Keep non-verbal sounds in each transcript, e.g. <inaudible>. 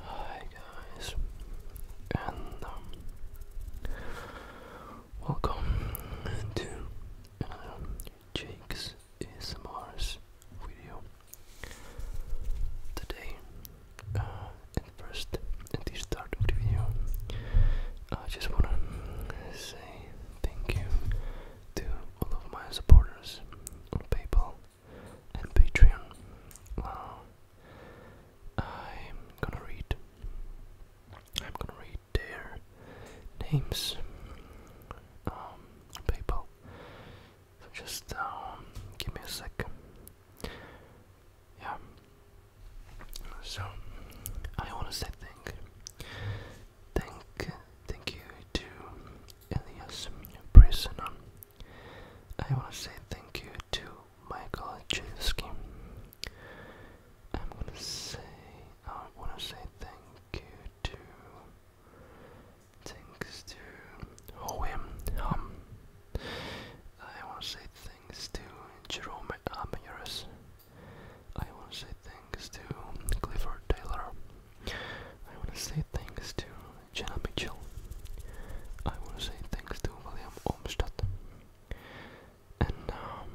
Hi guys, and um, welcome to um, Jake's ASMR's video. Today, uh, first, at the start of the video, I just wanna say thank you to all of my supporters on PayPal and Patreon. Now, I'm gonna read. I'm gonna read their names um, PayPal. So just um, give me a sec. Yeah. So I want to say thank, thank thank you to Elias Prisoner. I want to say thank you to Michael Chesky. I'm gonna say I want to say thank you to thanks to Hoem Hum. I want to say thanks to Jerome Amires. I want to say thanks to Clifford Taylor. I want to say thanks to Jenna Mitchell. I want to say thanks to William Olmsted. And um,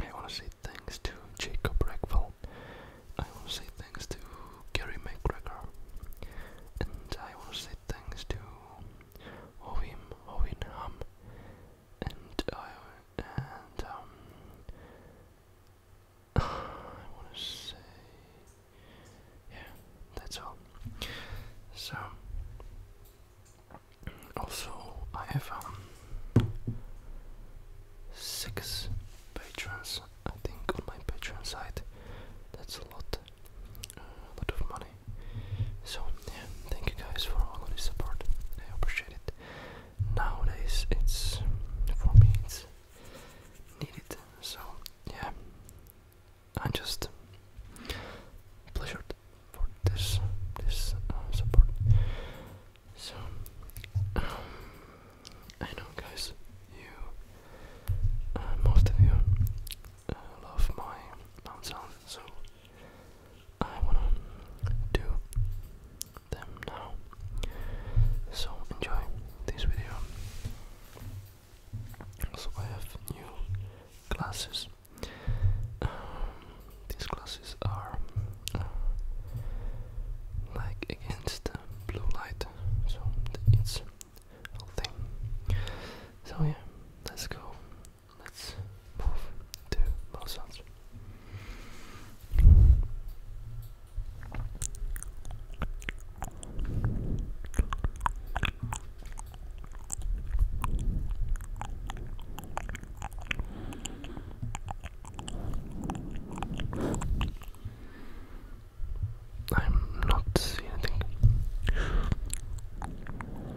I want to say thanks to Jacob Rackville. I want to say thanks to Gary McGregor. And I want to say thanks to Ovim Ovin Ham. And I and um, <sighs> I want to say, yeah, that's all. So, also I have um six patrons, I think, on my Patreon site. That's a lot, a lot of money. So yeah, thank you guys for all of the support. I appreciate it. Nowadays, it's for me, it's needed. So yeah, I'm just pleasured for this this uh, support. So um, I know, guys, you uh, most of you uh, love my sound, so I wanna do them now. So enjoy this video. So I have new classes. Um, these classes are uh, like against blue light, so it's whole thing. So yeah, let's go let's move to mouth sounds. I'm not seeing anything.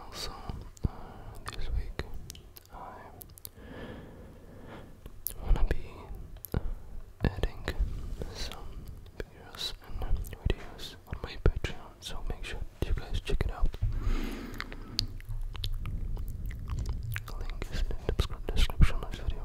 Also, uh, this week I wanna be adding some videos and videos on my Patreon, so make sure you guys check it out. Link is in the description of this video.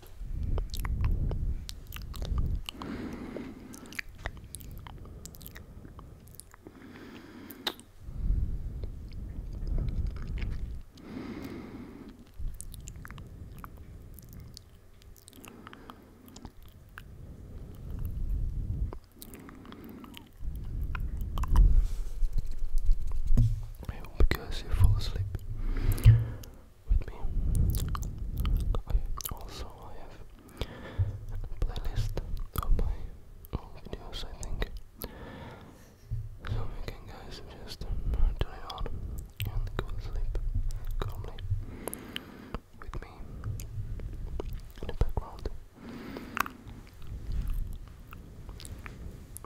I because you fall asleep with me. I also I have playlist of my own videos I think. So you can guys just turn it on and go to sleep calmly with me in the background.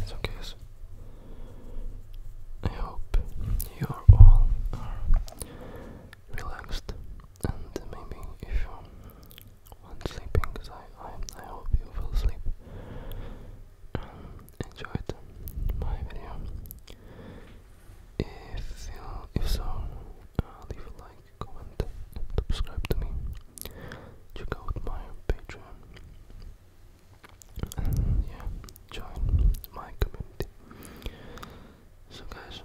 It's okay. So I hope you all are relaxed and maybe if you want sleeping, because I, I, hope you will sleep um, enjoyed my video if you, if so, uh, leave a like, comment and subscribe to me check out my Patreon yeah, join my community. So guys,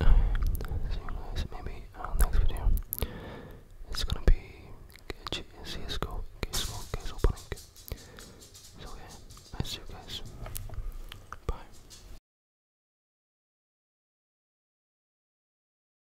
see you guys maybe our uh, next video. It's gonna be CSGO, CSGO, case opening. So yeah, I see you guys. Bye.